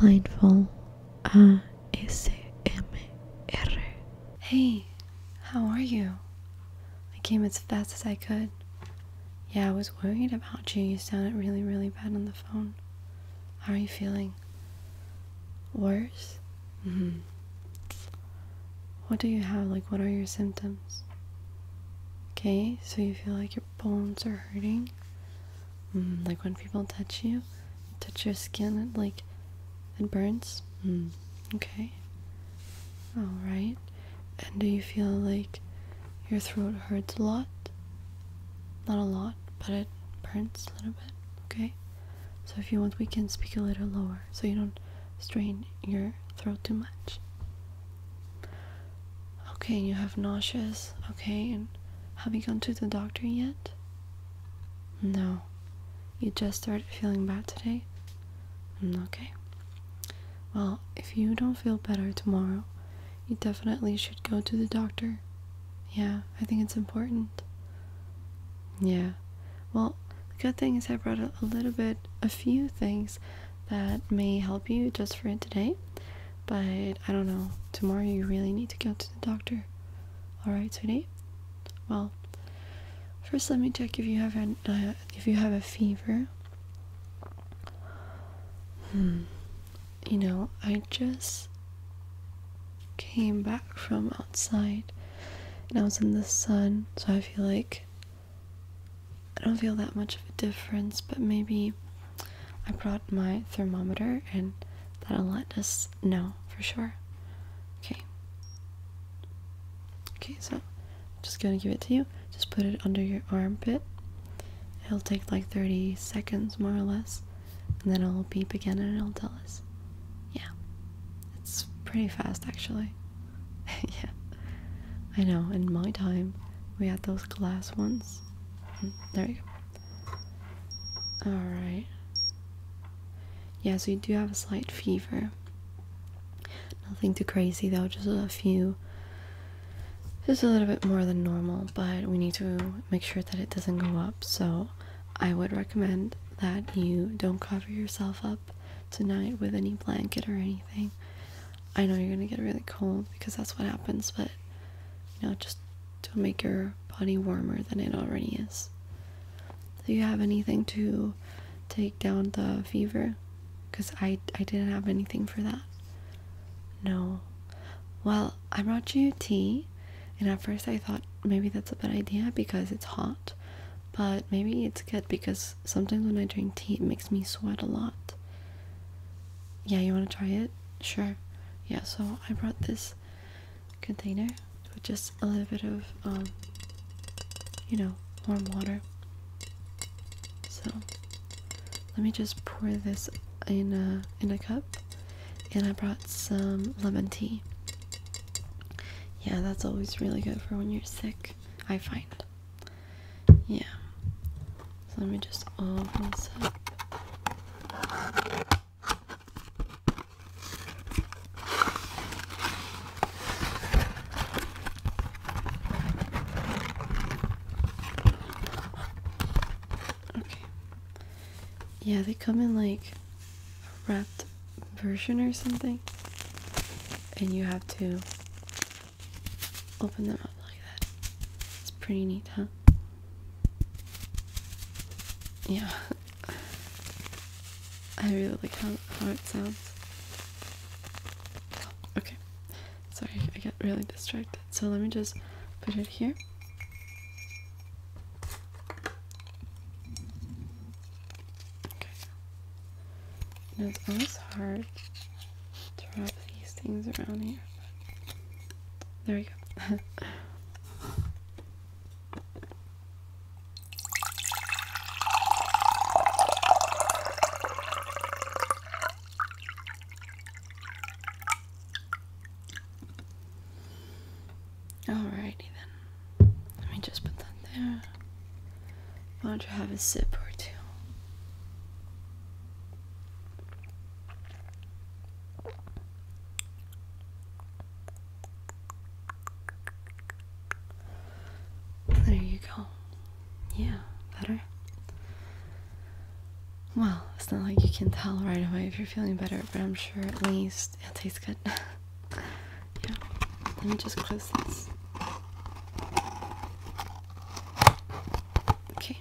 Mindful ASMR. Hey, how are you? I came as fast as I could. Yeah, I was worried about you. You sounded really, really bad on the phone. How are you feeling? Worse? hmm What do you have? Like, what are your symptoms? Okay, so you feel like you're bones are hurting. Mm, like when people touch you, touch your skin, it like it burns. Mm, okay. All right. And do you feel like your throat hurts a lot? Not a lot, but it burns a little bit. Okay. So if you want, we can speak a little lower so you don't strain your throat too much. Okay, you have nauseous. Okay, and have you gone to the doctor yet? No. You just started feeling bad today? Mm, okay. Well, if you don't feel better tomorrow, you definitely should go to the doctor. Yeah, I think it's important. Yeah. Well, the good thing is I brought a little bit, a few things that may help you just for today. But I don't know. Tomorrow you really need to go to the doctor. Alright, sweetie? Well, first let me check if you have an, uh, if you have a fever. Hmm. You know, I just came back from outside and I was in the sun, so I feel like I don't feel that much of a difference, but maybe I brought my thermometer and that'll let us know for sure. Okay. Okay, so I'm just gonna give it to you. Just put it under your armpit. It'll take like 30 seconds more or less, and then it'll beep again and it'll tell us. Yeah, it's pretty fast actually. yeah, I know, in my time we had those glass ones there you go. Alright. Yes, we do have a slight fever. Nothing too crazy though, just a few. Just a little bit more than normal, but we need to make sure that it doesn't go up. So I would recommend that you don't cover yourself up tonight with any blanket or anything. I know you're gonna get really cold because that's what happens, but you know, just to make your body warmer than it already is. Do you have anything to take down the fever? Because I, I didn't have anything for that. No. Well, I brought you tea, and at first I thought maybe that's a bad idea because it's hot, but maybe it's good because sometimes when I drink tea, it makes me sweat a lot. Yeah, you want to try it? Sure. Yeah, so I brought this container with just a little bit of, um, you know, warm water. So let me just pour this in a in a cup, and I brought some lemon tea. Yeah, that's always really good for when you're sick. I find. Yeah. let me just open this up. Okay. Yeah, they come in like a wrapped version or something. And you have to open them up like that. It's pretty neat, huh? Yeah. I really like how, how it sounds. Okay. Sorry, I get really distracted. So let me just put it here. Okay. Now it's always hard to wrap these things around here. There we go. Alrighty then. Let me just put that there. Why don't you have a sip or two? There you go. Yeah, better? Well, it's not like you can tell right away if you're feeling better, but I'm sure at least it tastes good. Yeah, let me just close this. Okay,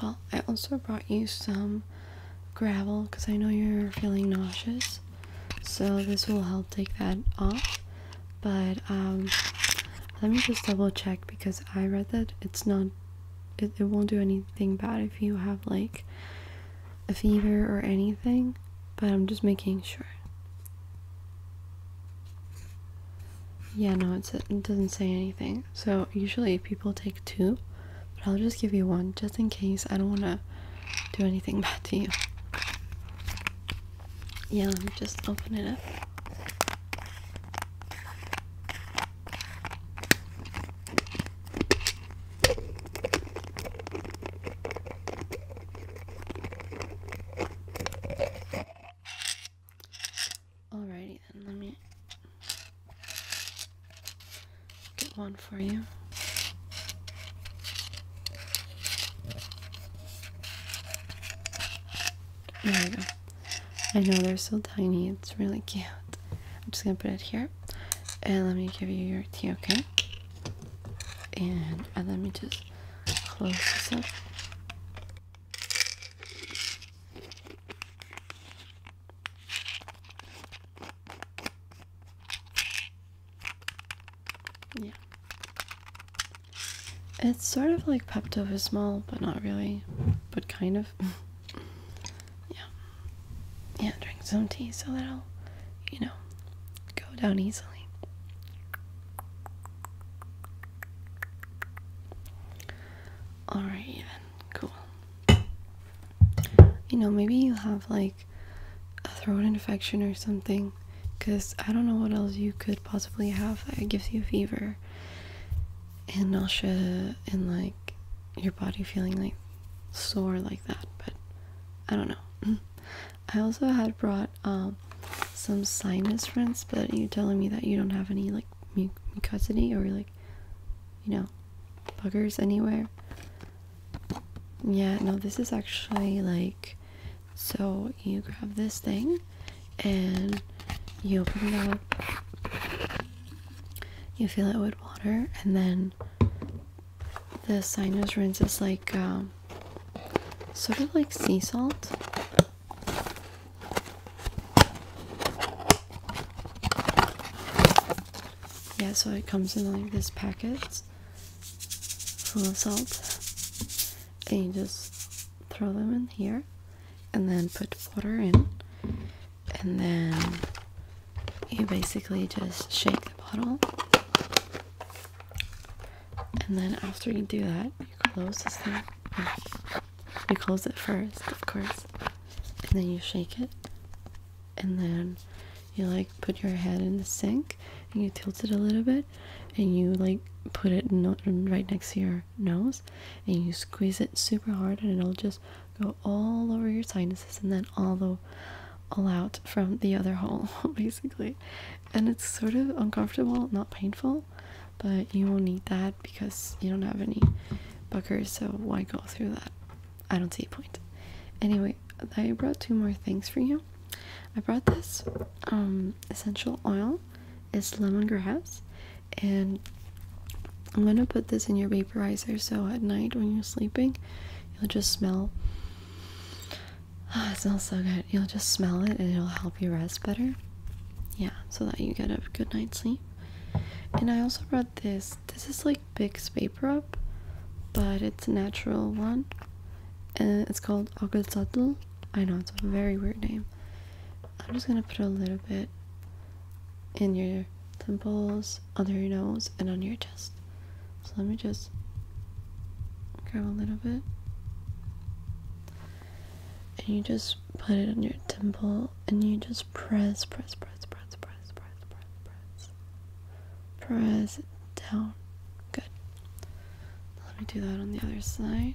well, I also brought you some gravel because I know you're feeling nauseous, so this will help take that off. But, um, let me just double check because I read that it's not, it, it won't do anything bad if you have like a fever or anything but I'm just making sure. Yeah, no, it doesn't say anything. So usually people take two, but I'll just give you one just in case. I don't want to do anything bad to you. Yeah, let me just open it up. Alrighty then, let me get one for you. There we go. I know they're so tiny, it's really cute. I'm just gonna put it here. And let me give you your tea, okay? and uh, let me just close this up yeah it's sort of like pepto-bismol but not really but kind of yeah yeah drink some tea so that'll you know go down easily. Alright, Cool. You know, maybe you have like a throat infection or something. Because I don't know what else you could possibly have that gives you fever and nausea and like your body feeling like sore like that, but I don't know. Mm. I also had brought um, some sinus rinse, but you're telling me that you don't have any like mu mucosity or like, you know, buggers anywhere. Yeah, no, this is actually like, so you grab this thing and you open it up, you fill it with water, and then the sinus rinse is like um, sort of like sea salt. Yeah, so it comes in like this packets full of salt, and you just throw them in here, and then put water in, and then you basically just shake the bottle. And then after you do that, you close this thing. You close it first, of course. And then you shake it. And then you like put your head in the sink and you tilt it a little bit and you like put it right next to your nose and you squeeze it super hard and it'll just go all over your sinuses and then all the all out from the other hole basically and it's sort of uncomfortable not painful but you won't need that because you don't have any buckers so why go through that i don't see a point anyway i brought two more things for you i brought this um essential oil it's lemongrass and I'm gonna put this in your vaporizer so at night when you're sleeping, you'll just smell. Oh, it smells so good. You'll just smell it and it'll help you rest better. Yeah, so that you get a good night's sleep. And I also brought this. This is like Bix Vapor Up, but it's a natural one. And it's called Agazatl. I know it's a very weird name. I'm just gonna put a little bit in your temples, under your nose, and on your chest. So let me just grab a little bit. And you just put it on your temple and you just press, press, press, press, press, press, press, press. Press it down. Good. Let me do that on the other side.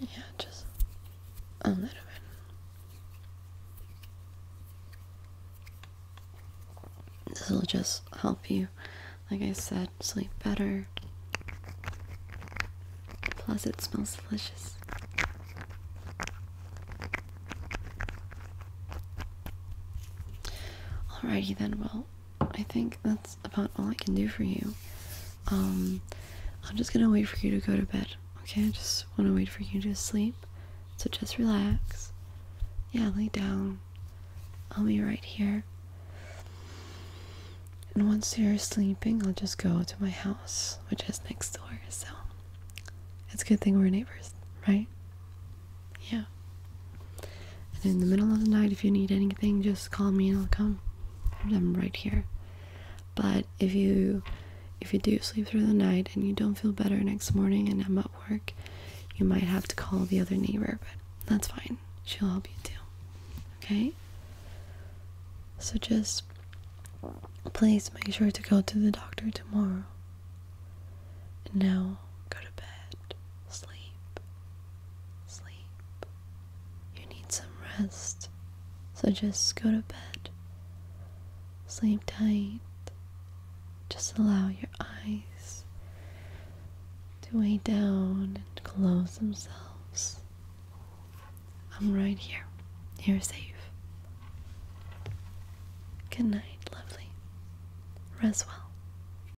Yeah, just a little bit. This will just help you, like I said, sleep better. Plus, it smells delicious. Alrighty then, well, I think that's that's about all I can do for you. Um, I'm just gonna wait for you to go to bed, okay? I just wanna wait for you to sleep. So just relax. Yeah, lay down. I'll be right here. And once you're sleeping, I'll just go to my house, which is next door, so it's a good thing we're neighbors, right? Yeah. And in the middle of the night, if you need anything, just call me and I'll come. I'm right here. But if you if you do sleep through the night and you don't feel better next morning and I'm at work, you might have to call the other neighbor, but that's fine. She'll help you too. Okay? So just please make sure to go to the doctor tomorrow. And now go to bed. Sleep sleep. You need some rest, so just go to bed. Sleep tight. Just allow your eyes to weigh down and close themselves. I'm right here. You're safe. Good night, lovely. Rest well.